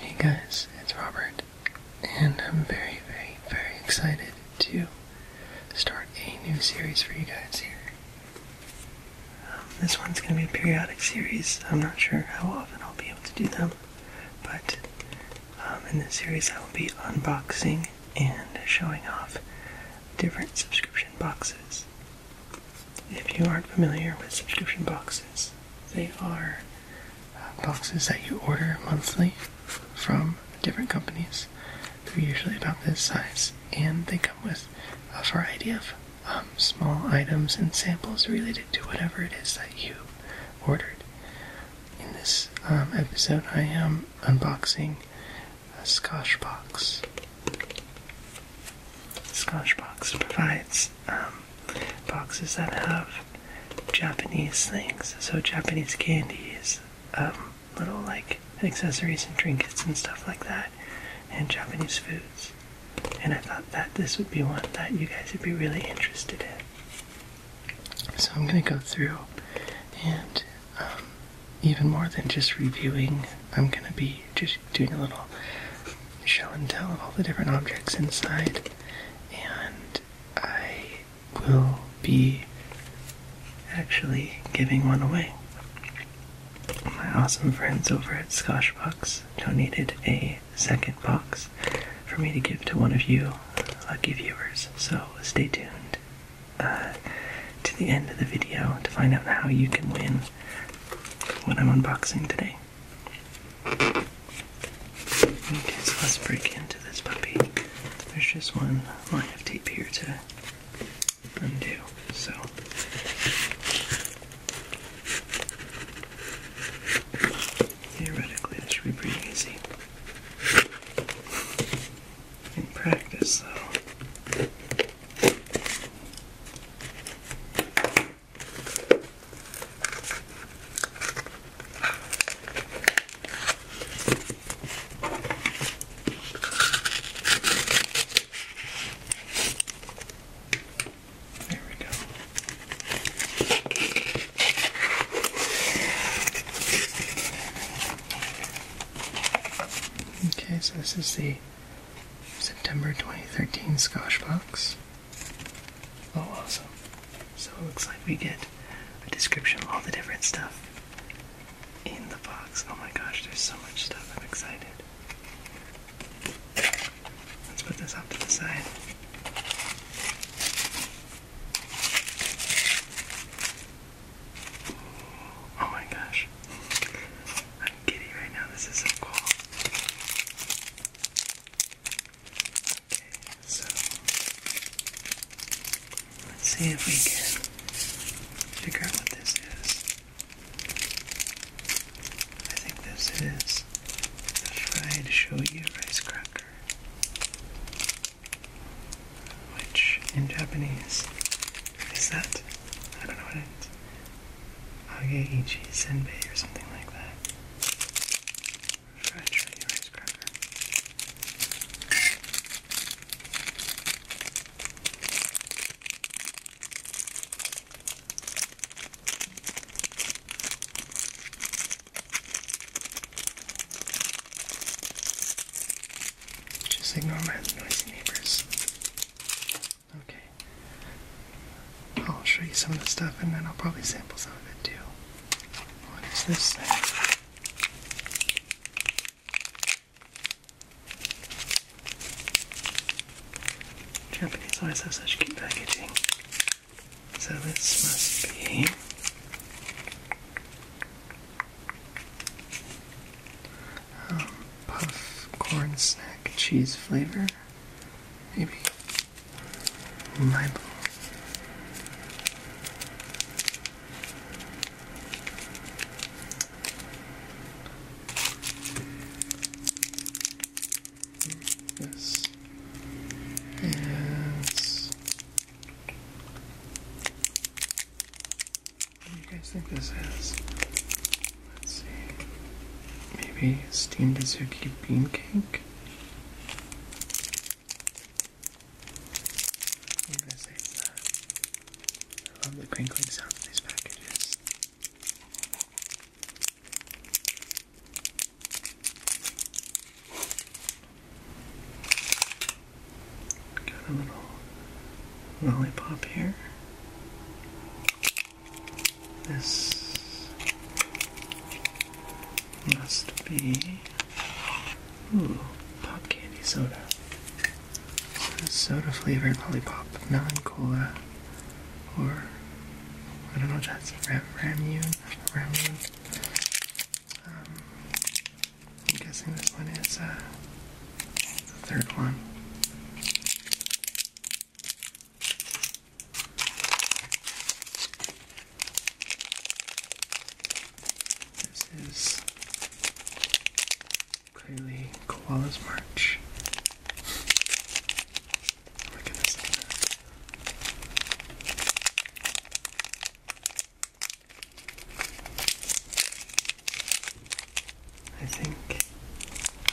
Hey guys, it's Robert, and I'm very, very, very excited to start a new series for you guys here. Um, this one's going to be a periodic series. I'm not sure how often I'll be able to do them, but um, in this series I will be unboxing and showing off different subscription boxes if you aren't familiar with subscription boxes, they are uh, boxes that you order monthly from different companies. They're usually about this size, and they come with a variety of um, small items and samples related to whatever it is that you ordered. In this um, episode, I am unboxing a Scotch box. Scotchbox provides um, boxes that have Japanese things, so Japanese candies, um, little like accessories and trinkets and stuff like that, and Japanese foods. And I thought that this would be one that you guys would be really interested in. So I'm going to go through and um, even more than just reviewing, I'm going to be just doing a little show and tell of all the different objects inside. And I will be actually giving one away. My awesome friends over at Scotchbox donated a second box for me to give to one of you lucky viewers, so stay tuned uh, to the end of the video to find out how you can win when I'm unboxing today so let's break into this puppy. There's just one line of tape here to undo, so. Theoretically, this should be pretty easy. In practice, though, there we go. Okay, so this is the September 2013 Scotch box. Oh, awesome. So it looks like we get a description of all the different stuff in the box. Oh my gosh, there's so much stuff. I'm excited. Let's put this off to the side. Oh my gosh. I'm getting right now. This is so cool. Okay, so let's see if we can figure out what this is. I think this is the fried shoyu rice cracker, which in Japanese is that? I don't know what it is. Ageichi Senbei or something like that. Fried shrimp rice cracker. Just ignore my noisy neighbors. Okay. I'll show you some of the stuff and then I'll probably sample some of it too. What is this Japanese always have such cute packaging. So this must be um, puff corn snack cheese flavor. Maybe. My blue. This What do you guys think this is? Let's see. Maybe steamed azuki bean cake? i love the crinkling sound of these packages. Got a little lollipop here. This must be ooh pop candy soda. Soda flavored lollipop, melon cola, or I don't know what ramune, ramune. Um, I'm guessing this one is uh, the third one. This is Kylie Koala's March. Oh my goodness. I think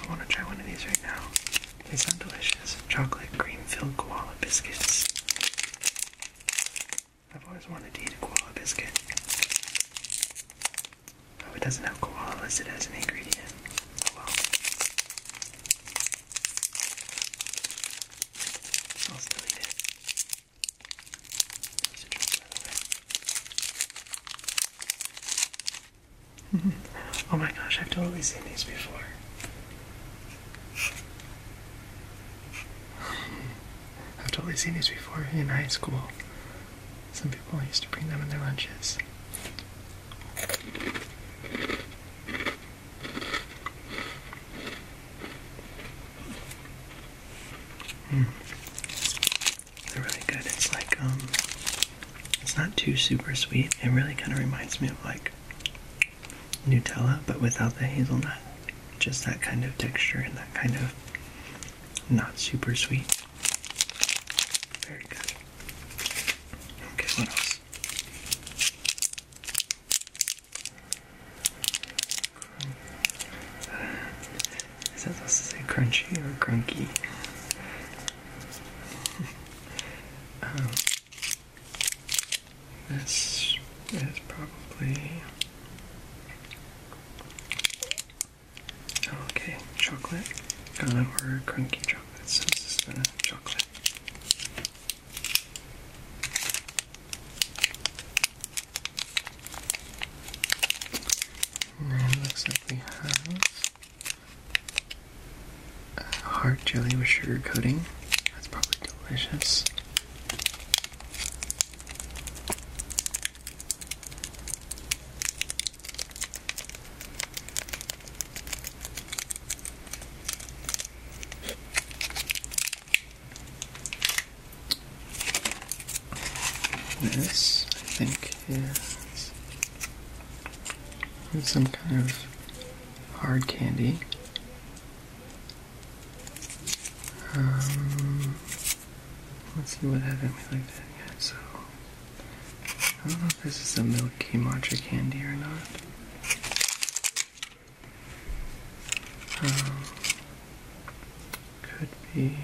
I want to try one of these right now. They sound delicious. Chocolate cream filled koala biscuits. I've always wanted to eat a koala biscuit. Oh, it doesn't have koala it has an ingredient. Oh well. I'll still eat it. There's by the way. oh my gosh, I've totally seen these before. I've totally seen these before in high school. Some people used to bring them in their lunches. Mm. They're really good. It's like um it's not too super sweet. It really kind of reminds me of like Nutella but without the hazelnut. Just that kind of texture and that kind of not super sweet. Very good. Okay, what else? Is that supposed to say crunchy or crunky? um, this is probably. Oh, okay, chocolate. Uh, or crunky chocolate. this is the chocolate. And it looks like we have Heart uh, jelly with sugar coating. That's probably delicious. This, I think, is, some kind of hard candy. Um, let's see what haven't we So, I don't know if this is a milky matcha candy or not. Um, could be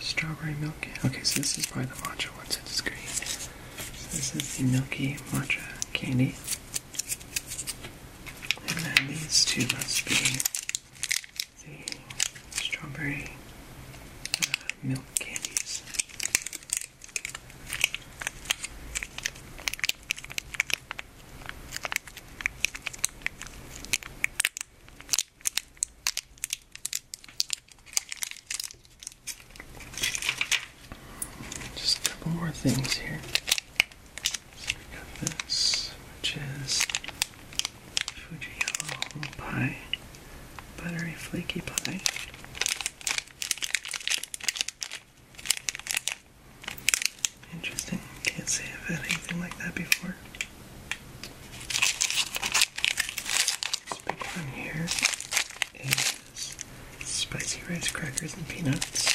strawberry milk. Okay, so this is probably the matcha one since it's green. So this is the milky matcha candy. And then these two must be the strawberry uh, milk candies. Just a couple more things here. we got this, which is Fujiyama pie, buttery flaky pie. Interesting. Can't say I've had anything like that before. This big one here is spicy rice crackers and peanuts.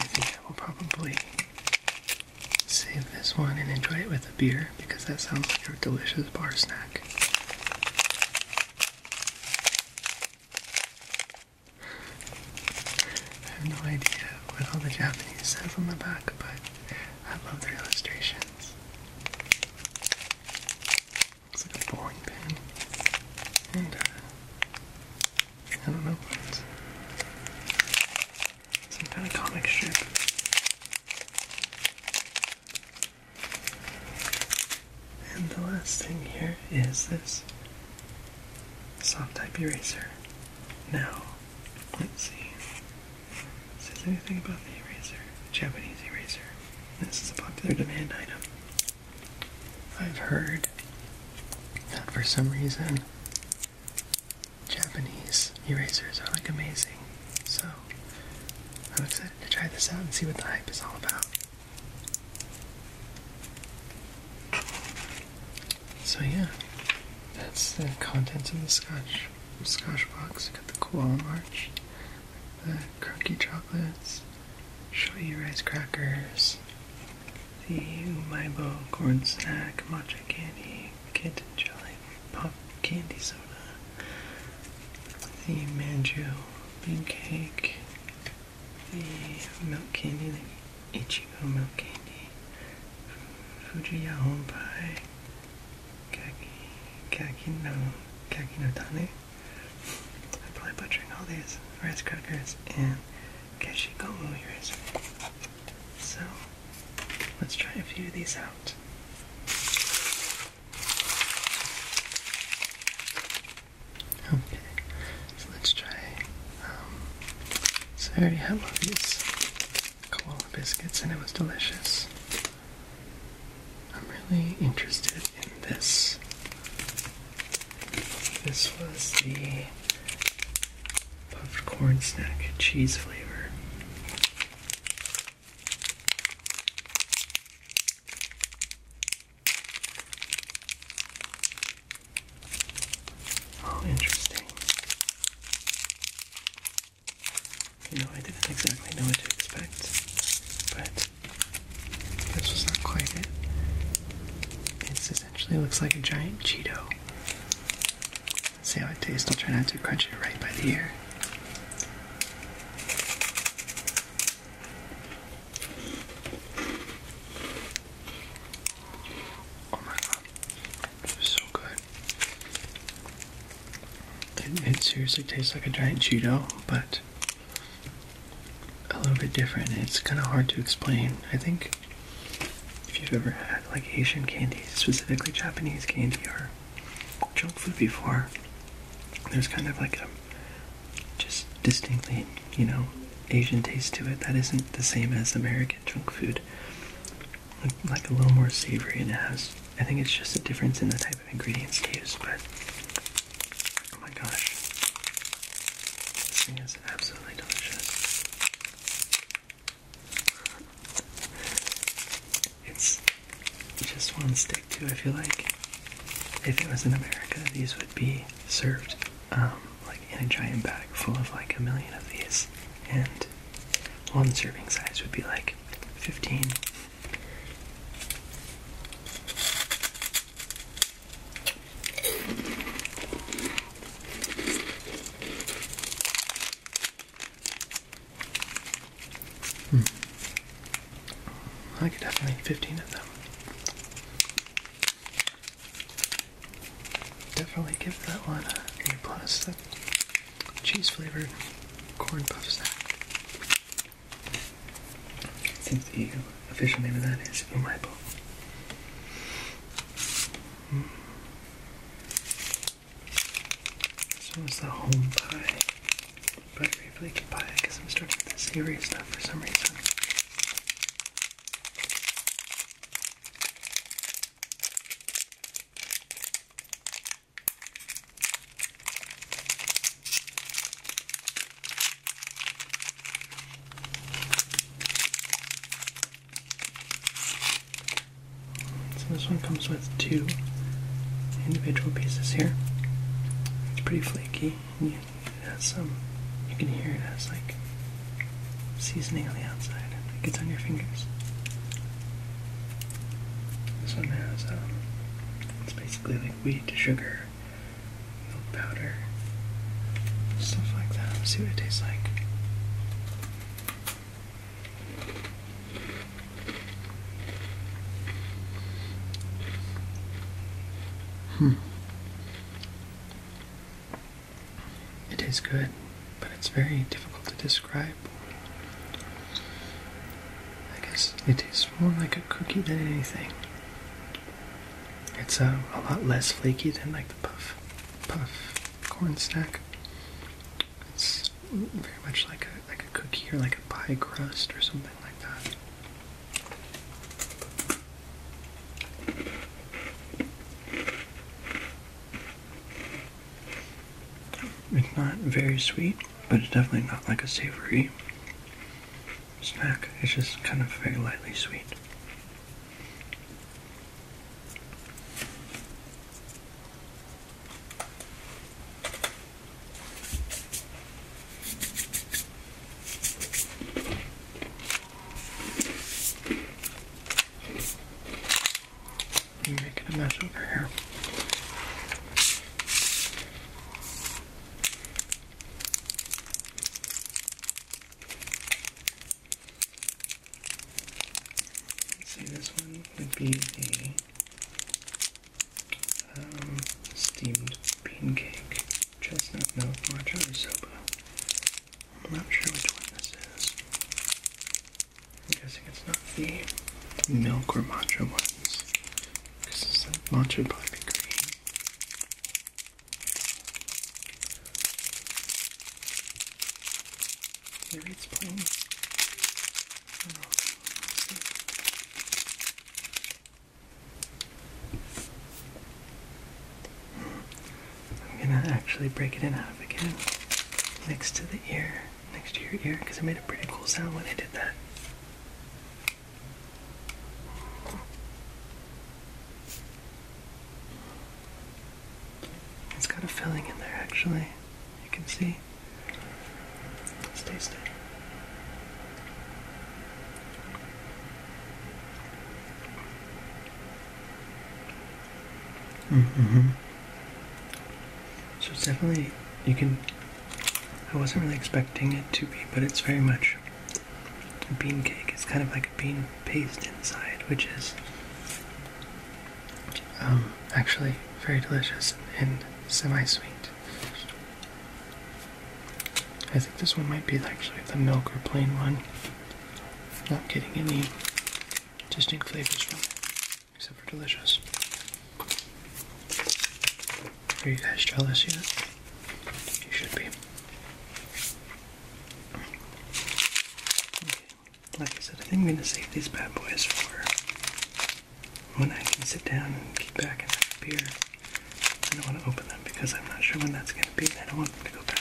I think I will probably save this one and enjoy it with a beer because that sounds like a delicious bar snack. I have no idea what all the Japanese says on the back, but I love their illustrations. It's like a boring pen. And, uh, I don't know what Some kind of comic strip. And the last thing here is this soft type eraser. Now, let's see. It says anything about the eraser, Japanese eraser. This is a popular demand item. I've heard that for some reason Japanese erasers are like amazing. So I'm excited to try this out and see what the hype is all about. So yeah, that's the contents of the scotch from Scotchbox. got the Cool march, the crocky chocolates, shoyu rice crackers, the umaibo corn snack, matcha candy, kitten jelly, pop candy soda, the manju bean cake, the milk candy, the ichigo milk candy. Fujiya Honpai Kaki Kaki no Kaki no Tane. I'm probably butchering all these rice crackers and Keshigomu ears. So let's try a few of these out. Okay, so let's try. Um, so I already have one of these koala biscuits and it was delicious. I'm really interested in this. This was the puffed corn snack cheese flavor. interesting. You know, I didn't exactly know what to expect, but this was not quite it. This essentially looks like a giant Cheeto. Let's see how it tastes. I'll try not to crunch it right by the ear. Oh my god. This so good. It, seriously tastes like a giant Cheeto, but a little bit different. It's kind of hard to explain. I think if you've ever had like Asian candies, specifically Japanese candy or junk food before, there's kind of like a just distinctly, you know, Asian taste to it that isn't the same as American junk food like a little more savory and it has I think it's just a difference in the type of ingredients used, but oh my gosh. This thing is absolutely delicious. It's just one stick too. I feel like if it was in America, these would be served um, like in a giant bag full of like a million of these and one serving size would be like 15. Hmm. I could definitely eat 15 of them definitely give that one A plus. That cheese flavored corn puffs. snack. I think the official name of that is Umaibo. Hmm. This one was the home pie, but buttery flaky pie. I guess I'm starting with the savory stuff for some reason. So this one comes with two individual pieces here. It's pretty flaky. it has some. You can hear it has like seasoning on the outside. It gets on your fingers. This one has, um, it's basically like wheat, sugar, milk powder, stuff like that. see what it tastes like. Hmm. It is good, but it's very difficult to describe. I guess it tastes more like a cookie than anything. It's uh, a lot less flaky than like the puff, puff corn snack. It's very much like a like a cookie or like a pie crust or something like that. It's not very sweet, but it's definitely not like a savory snack. It's just kind of very lightly sweet. You're making a mess over here. Let's see, this one would be the um, steamed bean cake, chestnut milk, matcha, or I'm not sure which one this is. I'm guessing it's not the milk or matcha ones. Because this is matcha would probably be green. Maybe it's plain. I'm gonna actually break it in half again next to the ear, next to your ear, because it made a pretty cool sound when I did that. It's got a filling in there actually. You can see. Let's Mm hmm So it's definitely you can. I wasn't really expecting it to be, but it's very much a bean cake. It's kind of like a bean paste inside, which is um, actually very delicious and semi-sweet. I think this one might be actually the milk or plain one. Not getting any distinct flavors from except for delicious. Are you guys jealous yet? You should be. Like I said, I think I'm gonna save these bad boys for when I can sit down and keep back and have a beer. I don't want to open them because I'm not sure when that's gonna be. I don't want them to go bad.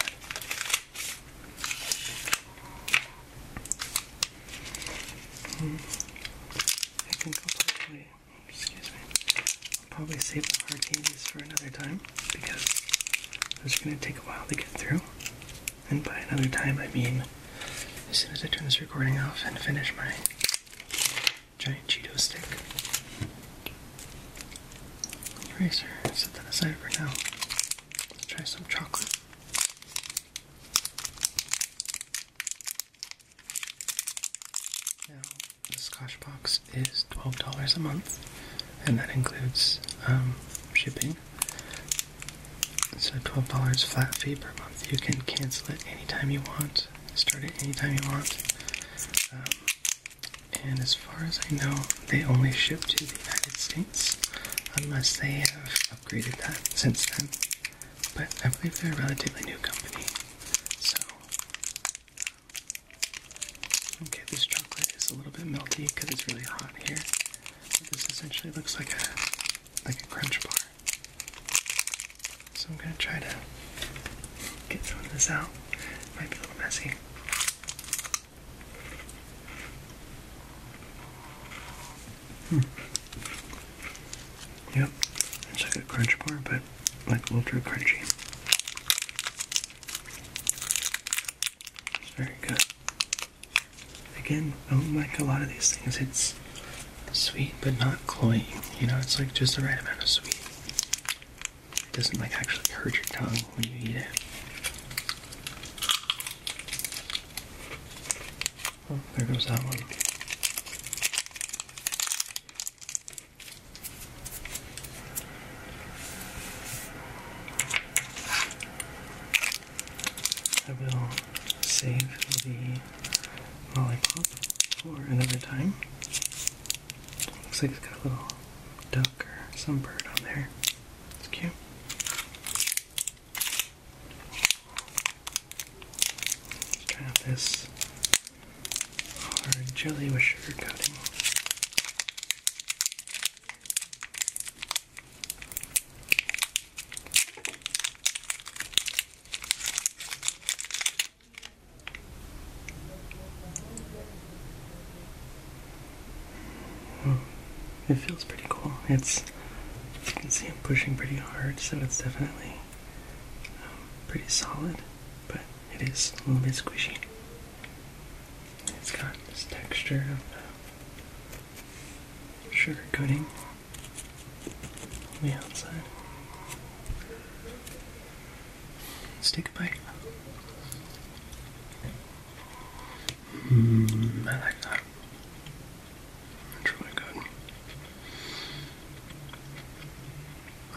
I excuse me, will probably save the hard candies for another time because it's going to take a while to get through. And by another time, I mean as soon as I turn this recording off and finish my giant Cheeto stick. Eraser, set that aside for now try some chocolate. Now, the Scotch box is $12 a month, and that includes um, shipping. So $12 flat fee per month. You can cancel it anytime you want, start it anytime you want. Um, and as far as I know, they only ship to the United States unless they have upgraded that since then. But I believe they're a relatively new company. So okay, this chocolate is a little bit melty because it's really hot here. this essentially looks like a like a crunch bar. So I'm gonna try to get some of this out. It might be a little messy. Hmm. Yep, it's like a crunchy bar, but like a little too crunchy. It's very good. Again, I like a lot of these things. It's sweet but not cloying. You know, it's like just the right amount of sweet. It doesn't like actually hurt your tongue when you eat Oh, there goes that one. I will save the lollipop for another time. Looks like it's got a little duck or some bird on there. It's cute. Let's try this hard jelly with sugar coating. It feels pretty cool. It's you can see I'm pushing pretty hard, so it's definitely um, pretty solid, but it is a little bit squishy. It's got this texture of um, sugar coating on the outside. Let's take a bite. Mm, I like that. It's really good.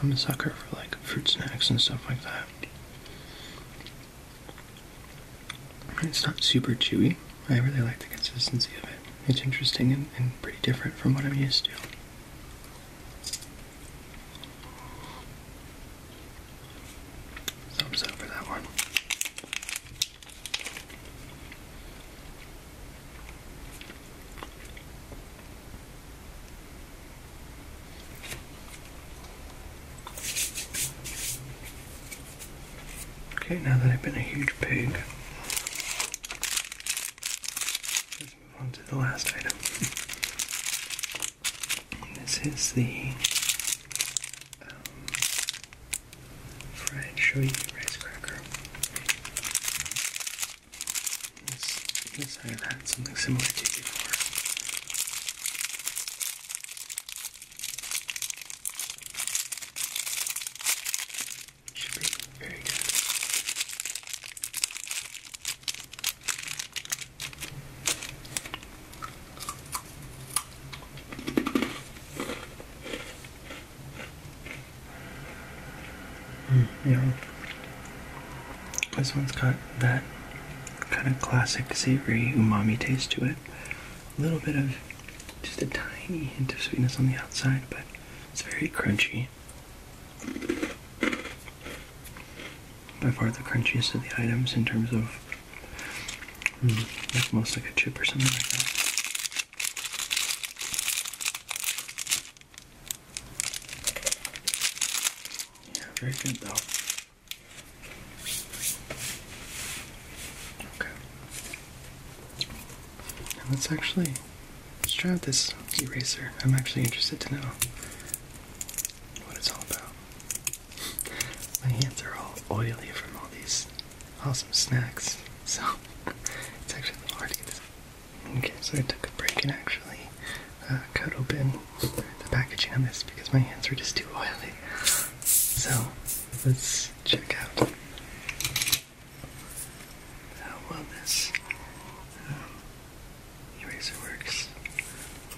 I'm a sucker for like fruit snacks and stuff like that. It's not super chewy. I really like the consistency of it. It's interesting and pretty different from what I'm used to. Thumbs up for that one. Okay, now that I've been a huge pig, let's move on to the last item. This is the um, fried shoyu rice cracker. yes, I have had something similar to before. Should be very good. Mm, this one's got that kind of classic savory umami taste to it. A little bit of just a tiny hint of sweetness on the outside, but it's very crunchy by far the crunchiest of the items in terms of mm, like most like a chip or something like that. Yeah, very good though. Okay. let's actually let's try out this eraser. I'm actually interested to know what it's all about. My hands are all oily from all these awesome snacks, so it's actually hard to get this. Okay, so I took a break and actually uh, cut open the packaging on this because my hands were just too oily. So let's check out how well this um, works.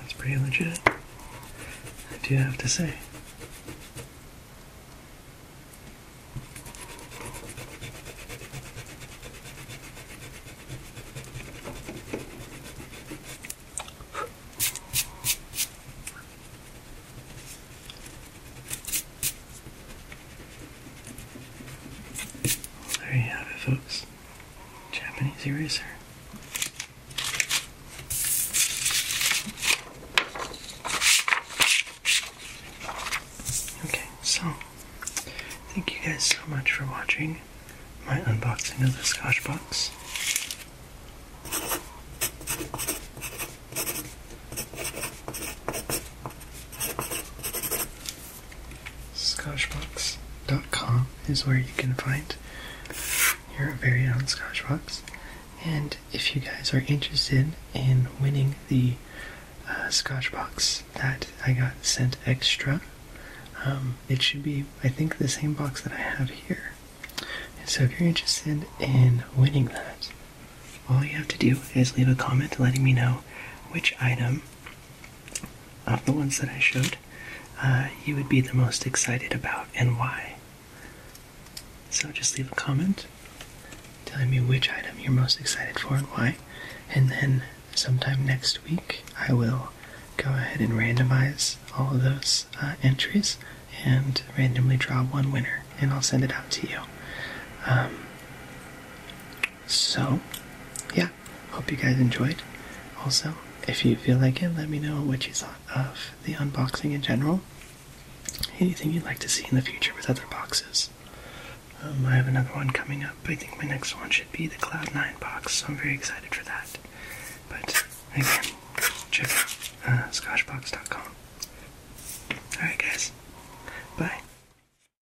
That's pretty legit, I do have to say there you have it, folks. Japanese eraser. Okay, so thank you guys so much for watching my unboxing of the Scotch box. Scotchbox.com is where you can find your very own Scotchbox. And if you guys are interested in winning the uh, Scotchbox that I got sent extra, um, it should be, I think, the same box that I have here. so if you're interested in winning that, all you have to do is leave a comment letting me know which item of the ones that I showed, uh, you would be the most excited about and why. So just leave a comment telling me which item you're most excited for and why, and then sometime next week I will go ahead and randomize all of those uh, entries and randomly draw one winner, and I'll send it out to you. Um, so, yeah, hope you guys enjoyed. Also, if you feel like it, let me know what you thought of the unboxing in general. Anything you'd like to see in the future with other boxes. Um, I have another one coming up. I think my next one should be the Cloud9 box, so I'm very excited for that. But again, check out uh, scotchbox.com. Alright, guys. Bye.